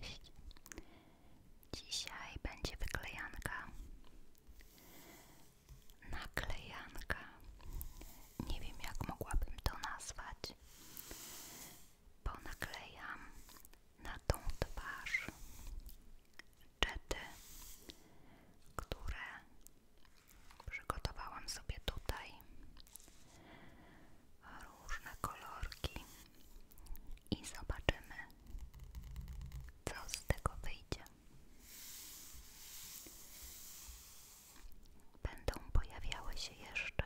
Cześć. Dzisiaj będzie wyklejanka. Naklejanka. Nie wiem jak mogłabym to nazwać. Bo naklejam na tą twarz czety, które przygotowałam sobie tutaj różne kolorki i zobaczymy, co z tego wyjdzie. Będą pojawiały się jeszcze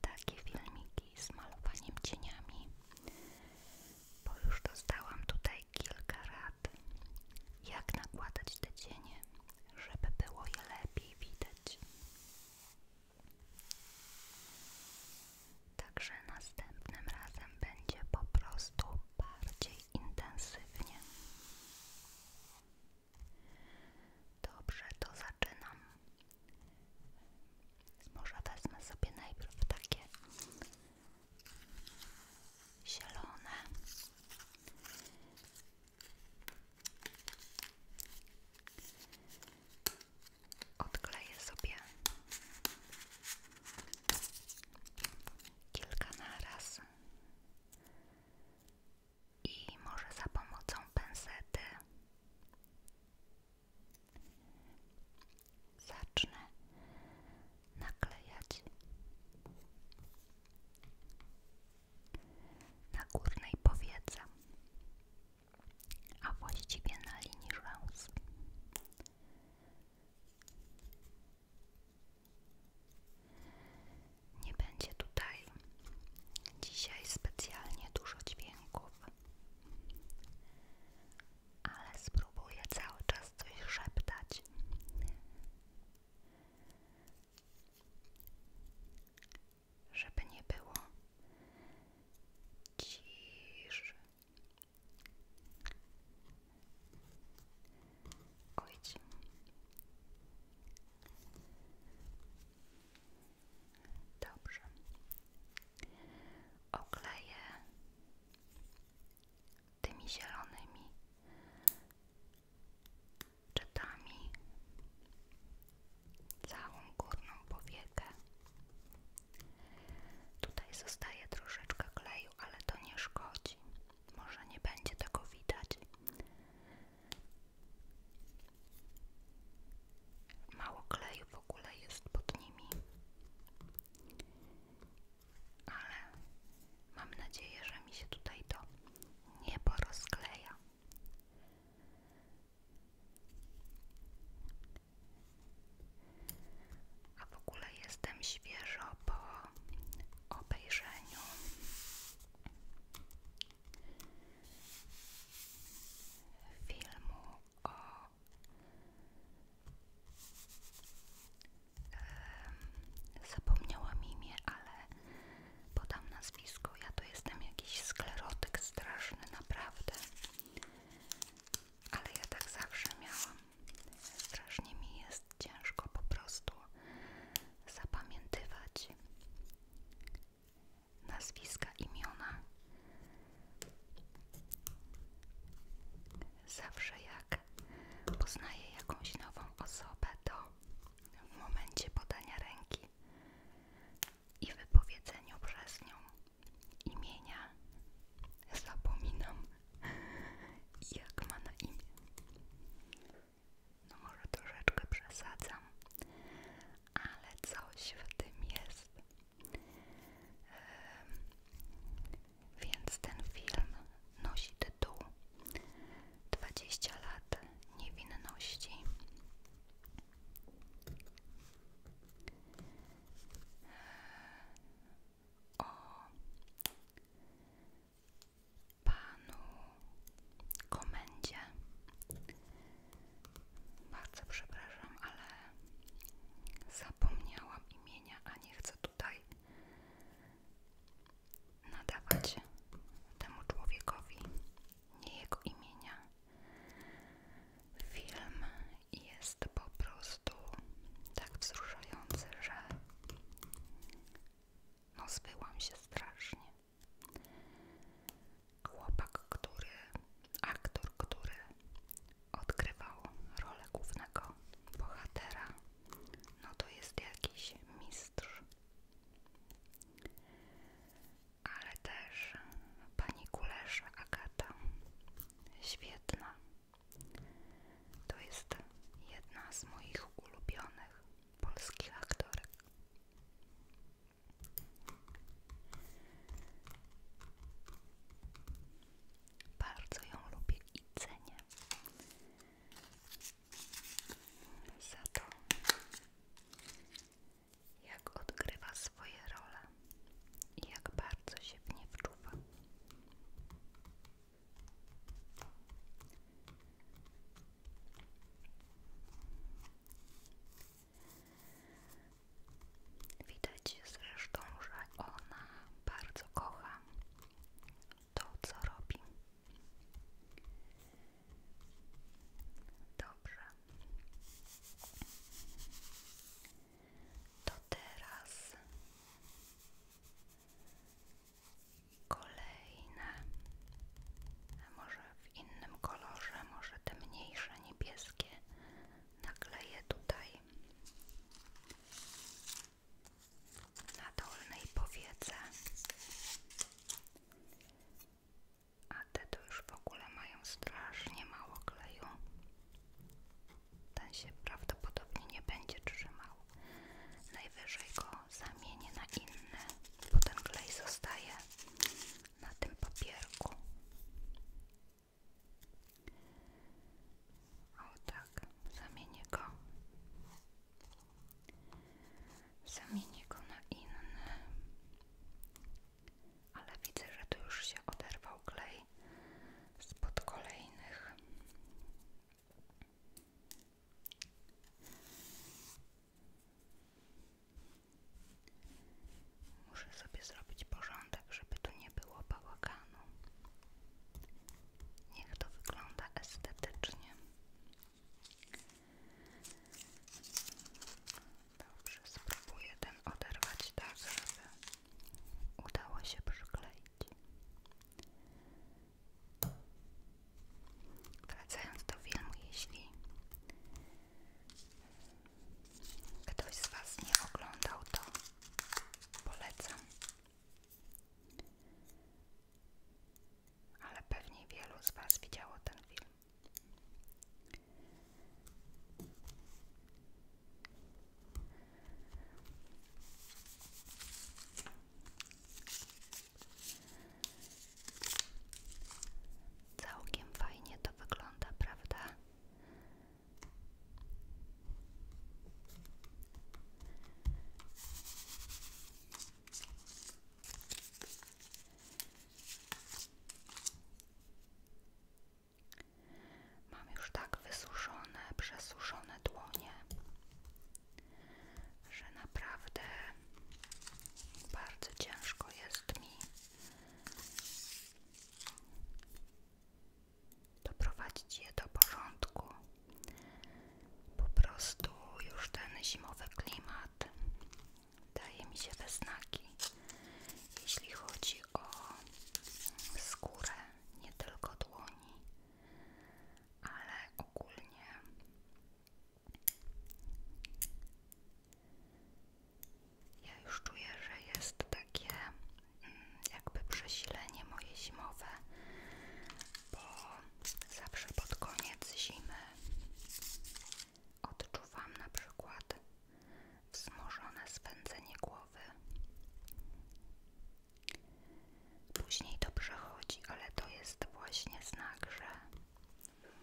takie filmiki z malowaniem cieniami, bo już dostałam tutaj kilka rad, jak nakładać te cienie, żeby było je lepiej widać. Także następnym razem będzie po prostu bardziej intensywnie. Dobrze, to zaczynam. Może wezmę sobie najpierw takie zielone Odkleję sobie kilka naraz i może za pomocą pensety zacznę naklejać na górnej powiece a właściwie na linii rzęs. Nie będzie tutaj dzisiaj specjalnie dużo dźwięków, ale spróbuję cały czas coś szeptać żeby nie było ciszy. Ojdź. Dobrze. Okleję tymi zielonymi czytami całą górną powiekę. Tutaj zostaje troszeczkę kleju, ale to nie szkodzi. Może nie będzie tego widać. Mało kleju w ogóle jest pod nimi. Ale mam nadzieję, że mi się tutaj to nie porozkleja. A w ogóle jestem świeżo po obejrzeniu filmu zapomniałam imię, ale podam nazwisko, ja to jestem jakiś sklerotyk straszny, naprawdę ale ja tak zawsze miałam strasznie mi jest ciężko po prostu zapamiętywać nazwiska, imiona zawsze jak poznaję jakąś nową osobę to w momencie podania ręki i wypowiedzeniu przez nią imienia zapominam jak ma na imię. No może troszeczkę przesadzam, ale coś w tym jest. Więc ten film nosi tytuł 20 lat niewinności o panu komendzie. Bardzo przepraszam, ale zapomniałam imienia, a nie chcę tutaj nadawać temu człowiekowi nie jego imienia. Film jest po prostu tak wzruszający, że no zbyłam się strasznie. Chłopak, który, aktor, który odgrywał rolę głównego bohatera, no to jest jakiś mistrz ale też pani Kulesza Agata. Świetna. To jest jedna z moich ulubionych polskich aktorek. Bardzo ją lubię i Za to jak odgrywa swoje role i jak bardzo się w nie wczuwa. Widać zresztą, że ona bardzo kocha to, co robi. Dobrze. To teraz kolejne, może w innym kolorze, może te mniejsze niebieskie nakleję tutaj na dolnej powiece a te to już w ogóle mają strasznie mało kleju. Ten się prawdopodobnie nie będzie trzymał. Najwyżej go zamienię na inne, bo ten klej zostaje na tym papierku. O tak, zamienię go. Zamienię go na inne ale widzę, że tu już się oderwał klej spod kolejnych. Muszę sobie zrobić porządek, żeby tu nie było bałaganu. Niech to wygląda estetycznie. Dobrze, spróbuję ten oderwać tak, żeby udało się przykleić. Wracając do filmu, jeśli ktoś z Was nie oglądał, to polecam. Ale pewnie wielu z Was widziało ten film. Całkiem fajnie to wygląda, prawda? Mam już tak wysuszone, przesuszone dłonie, że naprawdę bardzo ciężko jest mi doprowadzić je do porządku. Po prostu już ten zimowy klimat daje mi się we znaki, jeśli chodzi o skórę, nie tylko dłoni, ale ogólnie ja już czuję, że jest takie mm, jakby przesilenie moje zimowe, bo zawsze pod koniec zimy Odczuwam na przykład wzmożone swędzenie głowy. Później to przechodzi, ale to jest właśnie znak, że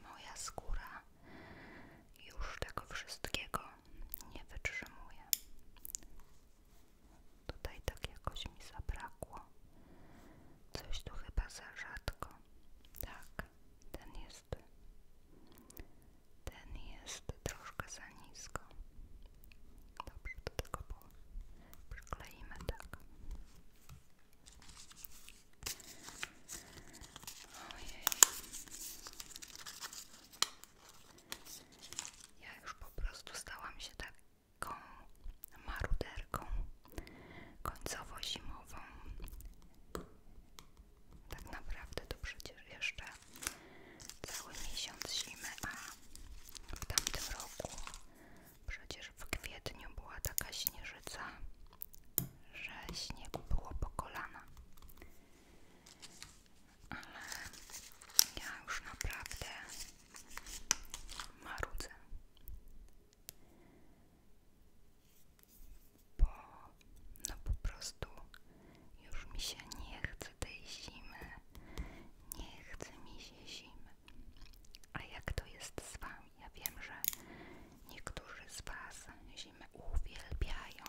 moja skóra już tego wszystkiego nie wytrzymuje. Tutaj tak jakoś mi zabrakło. Coś tu chyba za rzadko. Tak, ten jest jest. Ten jest troszkę za nisko. Dobrze, to tylko po... przykleimy tak. Ja już po prostu stałam się taką maruderką końcowo-zimową tak naprawdę to przecież jeszcze cały miesiąc zimy, a w tamtym roku przecież w kwietniu była taka śnieżyca, że śnieg było po kolana. Ale ja już naprawdę marudzę bo no po prostu już mi się nie chce tej zimy, nie chce mi się zimy. A jak to jest z wami? Ja wiem, że niektórzy z was zimę uwielbiają,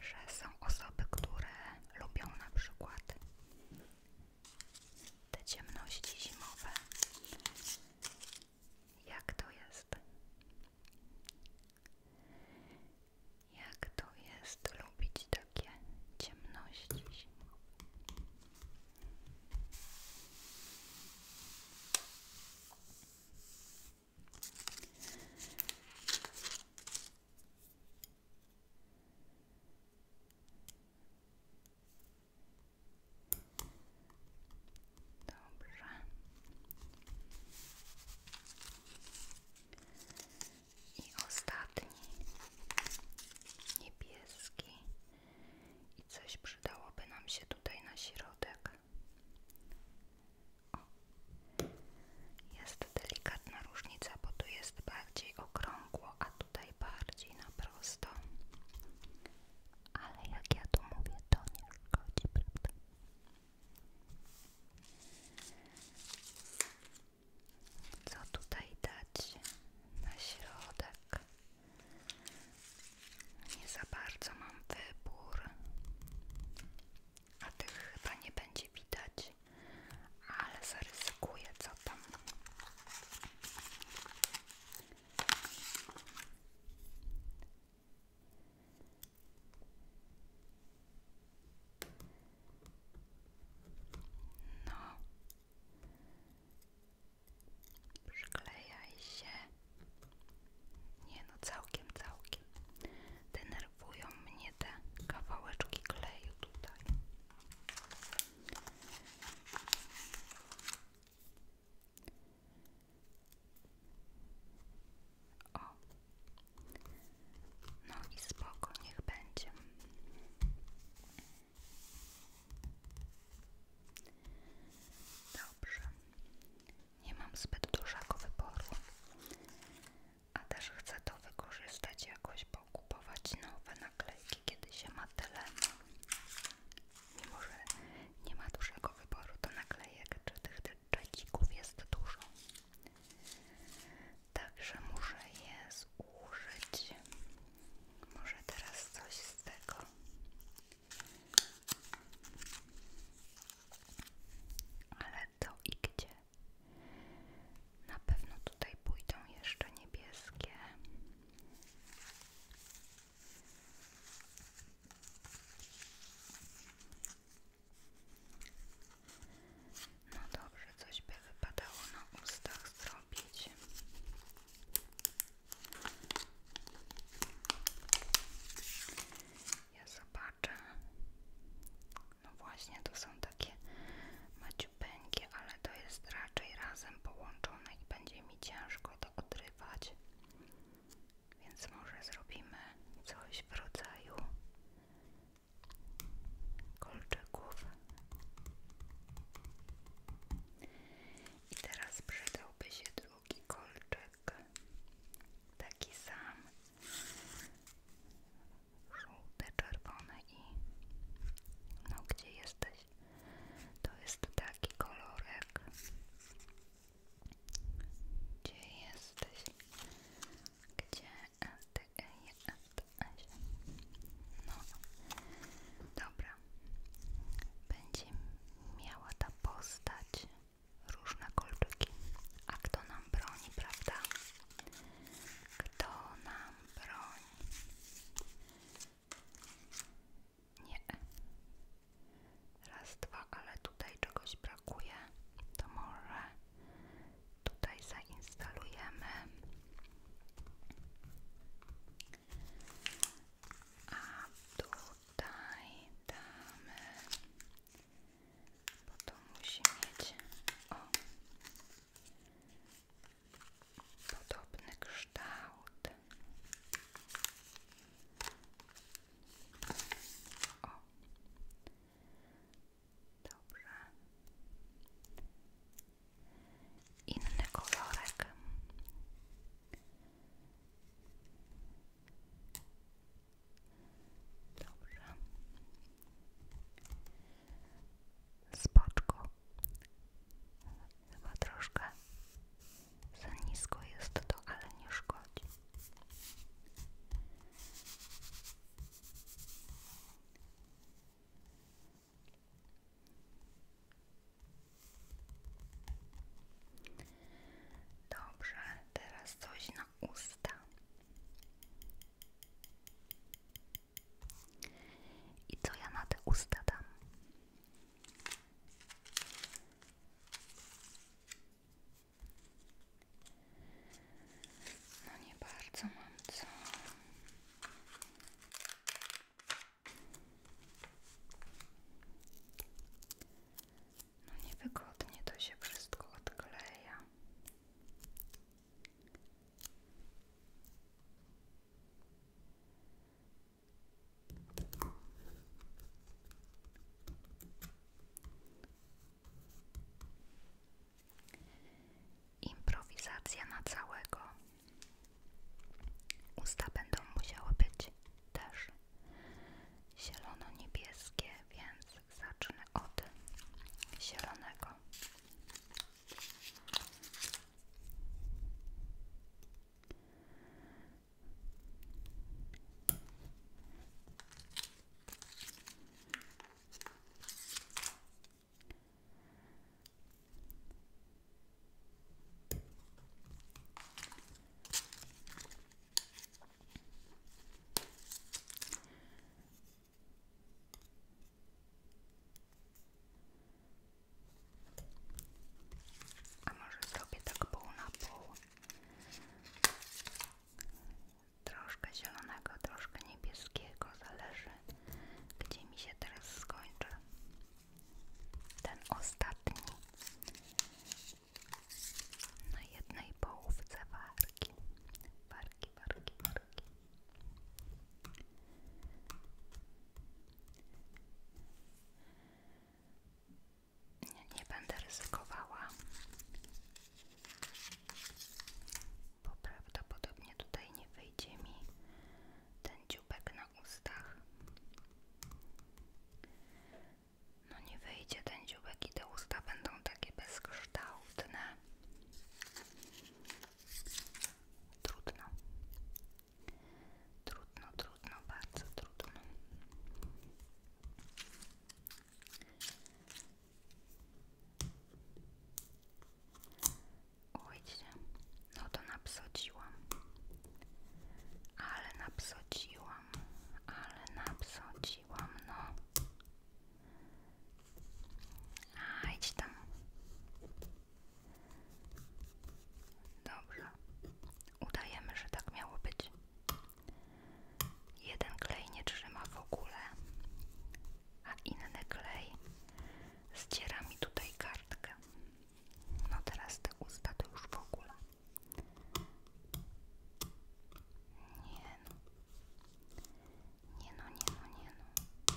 że są osoby, które lubią na przykład te ciemności zimowe, jak to jest? Jak to jest lubić takie ciemności? Dobrze. I ostatni niebieski. I coś przydałoby nam się tutaj na środek. O. Jest delikatna różnica, bo tu jest bardziej okrągło, a tutaj bardziej na prosto ale jak ja to mówię, to nie szkodzi, prawda? Co tutaj dać na środek? Nie za bardzo mam wybór, a tych chyba nie będzie widać, ale zarysuję co tam. No, przyklejaj się. Nie no, całkiem, całkiem. Denerwują mnie te kawałeczki kleju tutaj. O, no i spoko, niech będzie. Dobrze, nie mam zbyt dużego wyboru, a też chcę to wykorzystać jakoś, po kupować nowe naklejki, kiedy się ma tyle mimo że nie ma dużego wyboru to naklejek, czy tych dżekików jest dużo. Także muszę je zużyć. Może teraz coś z tego. Ale to i gdzie? Na pewno tutaj pójdą jeszcze niebieskie. No dobrze, coś by wypadało na ustach zrobić. Ja zobaczę. No właśnie, to są takie maciu maciupeńki, ale to jest raczej razem połączone i będzie mi ciężko to odrywać. Więc może zrobimy coś w rodzaju kolczyków. I teraz przydałby się drugi kolczyk, taki sam, żółte, czerwone i no gdzie jesteś? To jest taki kolorek gdzie jesteś? Gdzie ty jesteś? No, dobra. Będzie miała ta postać różne kolczyki. A kto nam broni, prawda? Kto nam broni? Nie. Raz, dwa, ale tutaj czegoś brakuje. To może tutaj zainstalujemy. A tutaj damy, bo to musi mieć o, podobny kształt. O. Dobrze. Inny kolorek. Dobrze. Spoczko. Chyba za nisko jest to, ale nie szkodzi. Dobrze, teraz coś na usta. I co ja na te usta dam? No nie bardzo mam co. No niewygodnie to się wszystko odkleja. Improwizacja na całego. Usta będą musiały być też zielono-niebieskie, więc zacznę od zielonego. А може зробити так пол на пол. Troszkę zielonego, troszkę niebieskiego, zależy gdzie mi się teraz skończy. Ten ostatni na jednej połówce warki. Warki, warki, warki nie, będę ryzykowała, bo prawdopodobnie tutaj nie wyjdzie mi ten dziubek na ustach. No nie wyjdzie ten dziubek i te usta będą takie bezkształtne. Trudno. Trudno, trudno, bardzo trudno. Ujdzie, no to napsociłam, ale napsociłam, ale napsociłam, no. A, tam. Dobrze. Udajemy, że tak miało być. Jeden klej nie trzyma w ogóle, a inny klej zdziera mi tutaj kartkę. No teraz te usta to już w ogóle. Nie no. Nie no, nie no, nie no.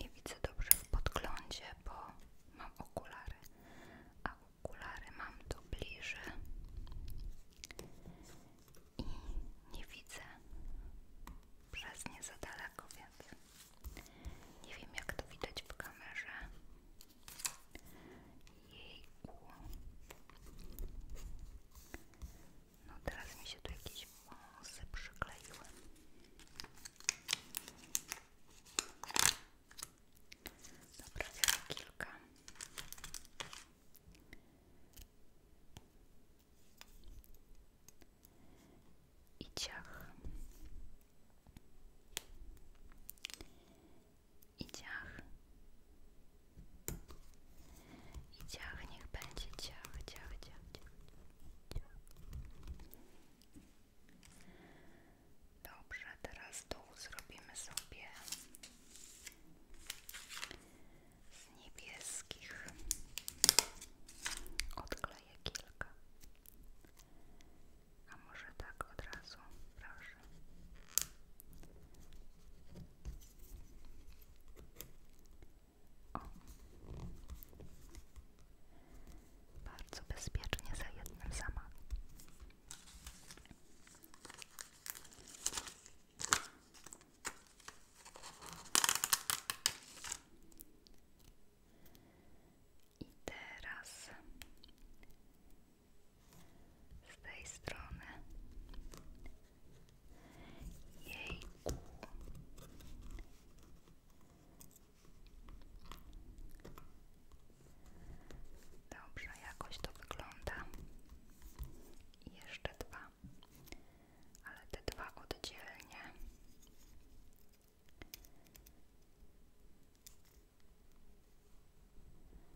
Nie widzę dobrze w podglądzie, bo mam okulary, a okulary mam tu bliżej i nie widzę przez nie za daleko, więc nie wiem jak to widać w kamerze. Jejku. No teraz mi się tu jakiś wąsy przykleiły. Dobra, kilka. I ciach i ciach. niech będzie ciach, ciach, ciach, ciach. Dobrze, teraz dół zrobimy sobie z niebieskich. Odkleję kilka. A może tak od razu, proszę. Dobrze. Bardzo bezpiecznie za jednym zamachem. I teraz z tej strony. Jejku. Dobrze, jakoś to wygląda. jeszcze dwa, ale te dwa oddzielnie.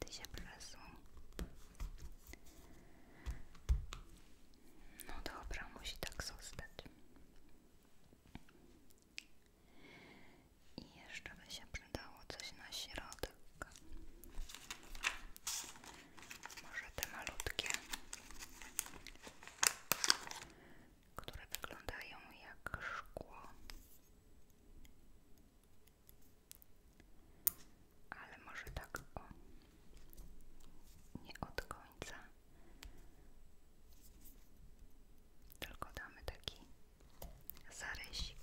Ty się przesuń. No dobra, musi tak zostać. I jeszcze by się przydało coś na środek. Może te malutkie które wyglądają jak szkło, ale może tak nie od tylko damy taki zarysik.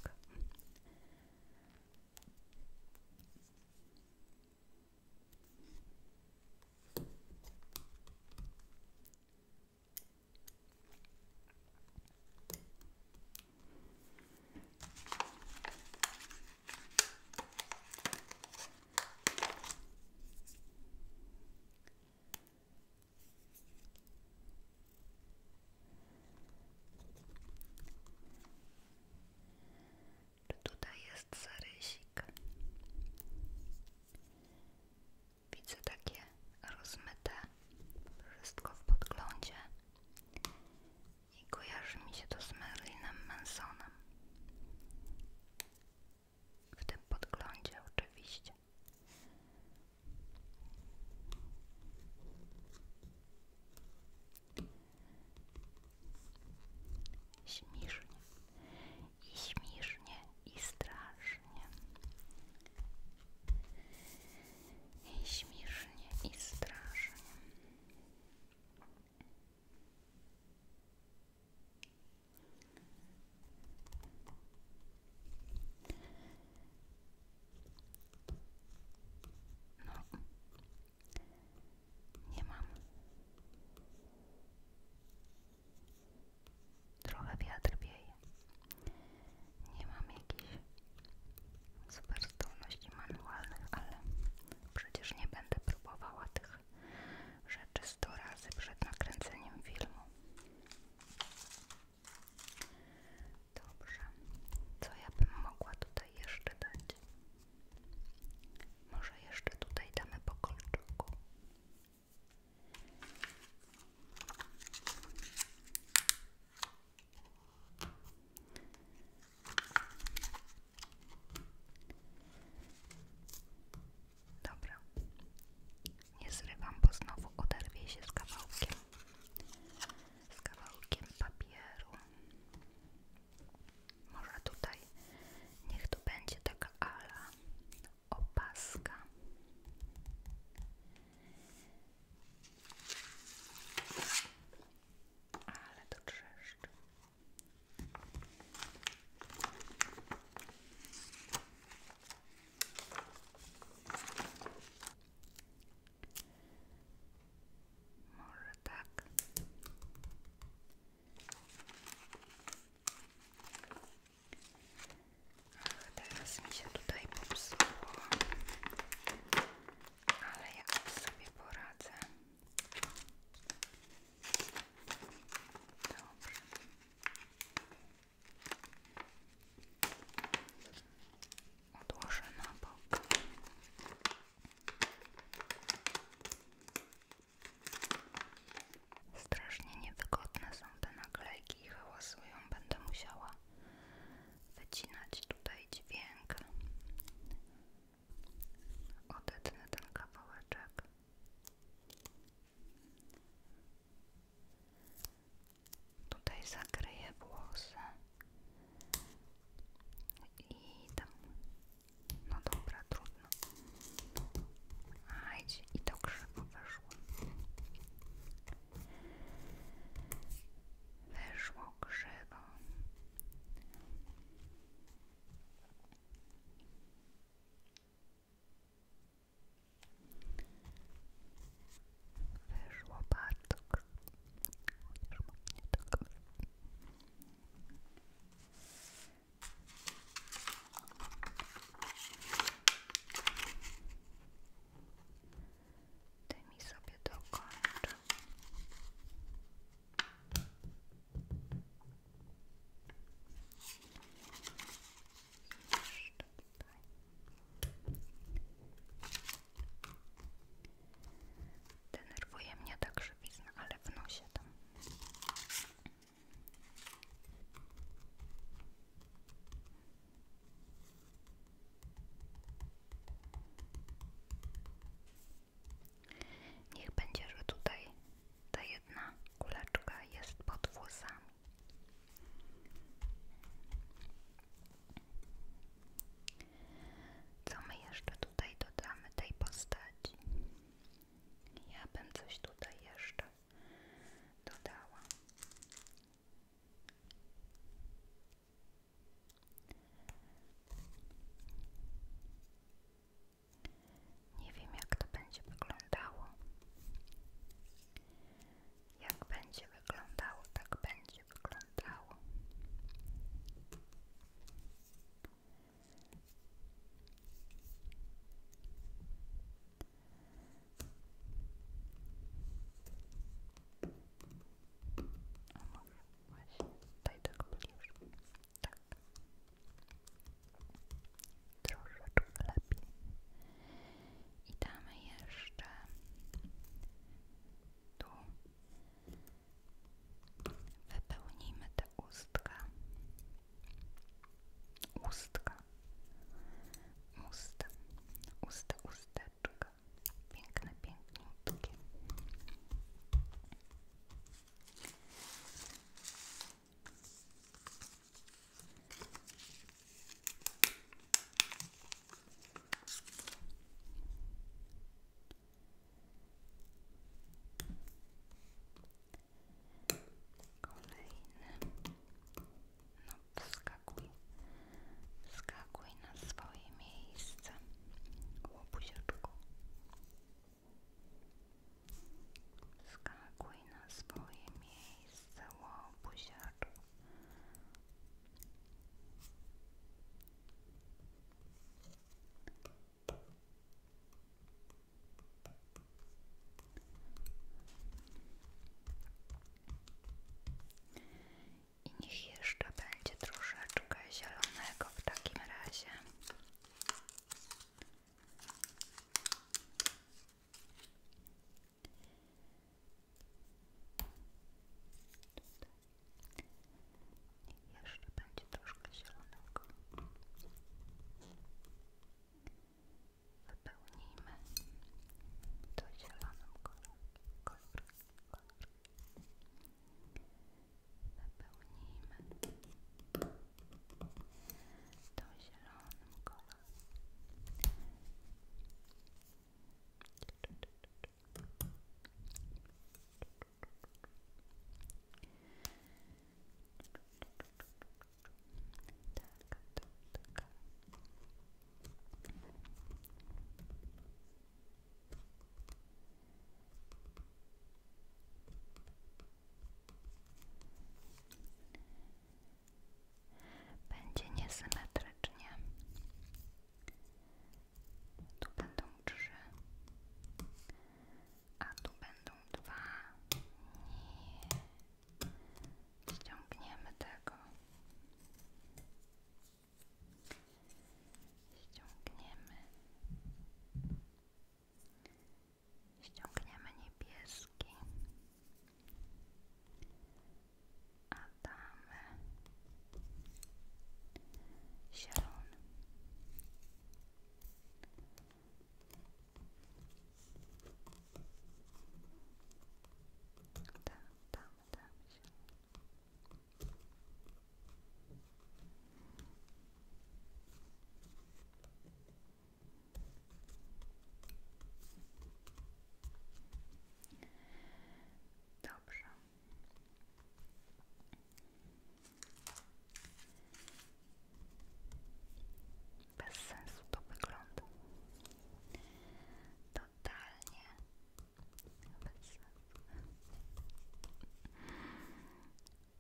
Czy tutaj jest zarysik? Widzę takie rozmyte wszystko w podglądzie i kojarzy mi się to z Merlinem Mansonem. W tym podglądzie oczywiście. Śmiesznie i śmiesznie i strasznie. I śmiesznie i strasznie. No, nie mam Trochę wiatr wieje. Nie mam jakichś super zdolności manualnych, ale przecież nie będę próbowała tych rzeczy 100 razy przed nakręceniem filmu. Dobrze, co ja bym mogła tutaj jeszcze dać? Może jeszcze tutaj damy po kolczyku. Dobra, nie zrywam, bo znowu oderwie się z kawałkiem, papieru. Może tutaj niech to będzie taka opaska. Ale to trzeszczy. Może tak teraz mi się tutaj popsuło, ale ja sobie poradzę. Dobrze. Odłożę na bok. Strasznie niewygodne są te naklejki i hałasują. Będę musiała wycinać tutaj dźwięk. Odetnę ten kawałeczek. Tutaj zakryję włosy i tam, no dobra, trudno. Ajdź, i to krzywo weszło. Wyszło krzywo. Wyszło bardzo krzywo tymi sobie dokończę. Jeszcze tutaj. tak, mnie ta ale w nosie Niech będzie, że tutaj ta jedna kuleczka jest pod włosami. Co my jeszcze tutaj dodamy tej postaci? Ja bym coś tutaj jeszcze dodała. Nie wiem, jak to będzie wyglądało. Jak będzie wyglądało, tak będzie wyglądało. A może właśnie tutaj tak bliżej. Tak. lepiej. I jeszcze tu. Wypełnijmy te ustka. Ustka usta, usta, usteczka, piękne, piękniutkie. Kolejny no wskakuj. Wskakuj na swoje miejsce. Łobuziaczku. Wskakuj na swoje miejsce. Łobuziaczku. I niech jeszcze będzie troszeczkę zielonego w takim razie. Tutaj. Jeszcze będzie troszkę zielonego. Wypełnijmy to zielonym kolorem. Kolor, Wypełnijmy to zielonym kolorem. Tak, tak, tak. Będzie niesymetrycznie. Tu będą trzy, a tu będą dwa. Nie ściągniemy tego ściągniemy ściągniemy niebieski a damy zielony tam, tak tam się. Dobrze. Bez sensu to wygląda totalnie bez sensu.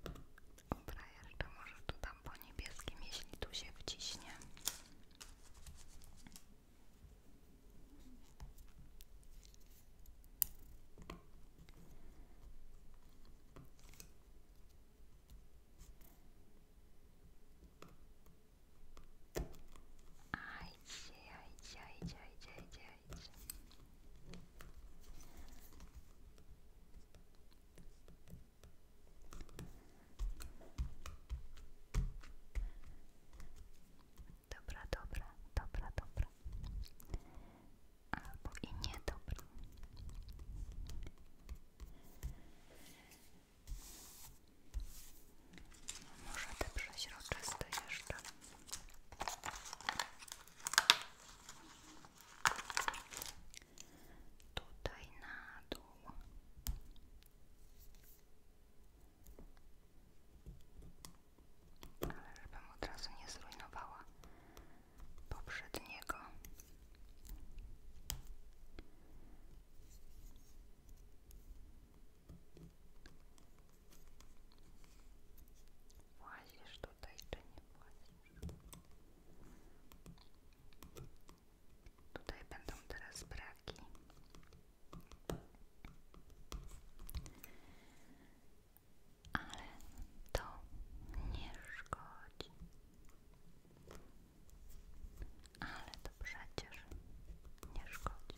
Dobra, jeszcze może tu dam po niebieskim, jeśli tu się wciśnie. Ajdźcie, ajdźcie, ajdźcie, ajdźcie, ajdźcie, ajdźcie. Dobra, dobra, dobra, dobra. Albo i nie dobra. Może te przeźroczyste jeszcze. Tutaj na dół. Ale żebym od razu nie zrujnowała poprzedniego. Włazisz tutaj, czy nie włazisz? Tutaj będą teraz braki. Ale to nie szkodzi ale to przecież nie szkodzi.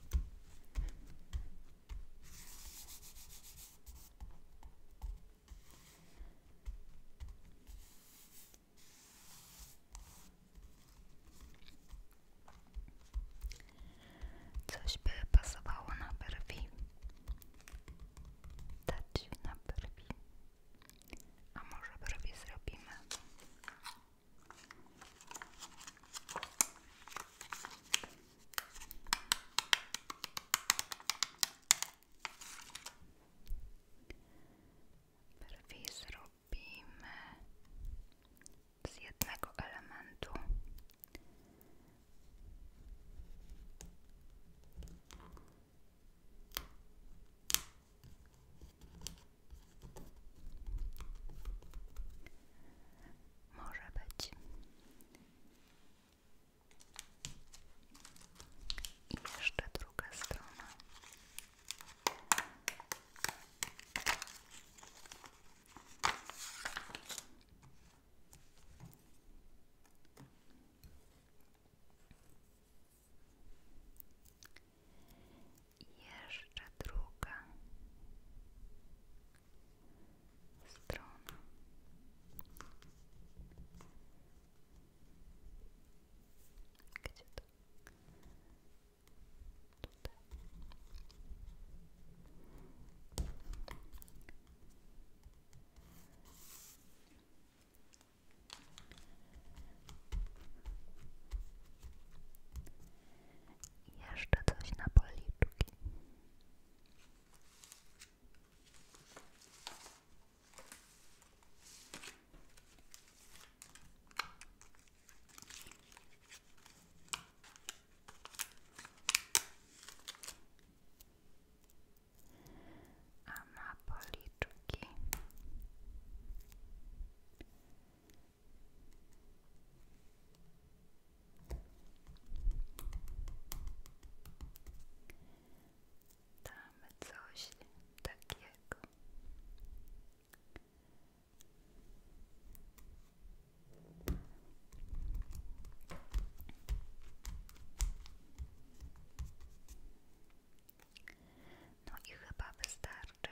Coś by pasowało na brwi, dać na brwi, a może brwi zrobimy Brwi zrobimy z jednego elementu. Może być. I jeszcze druga strona. I jeszcze druga strona. Gdzie to? Tutaj. Jeszcze coś na policzki. A na policzki Damy coś takiego. No i chyba wystarczy.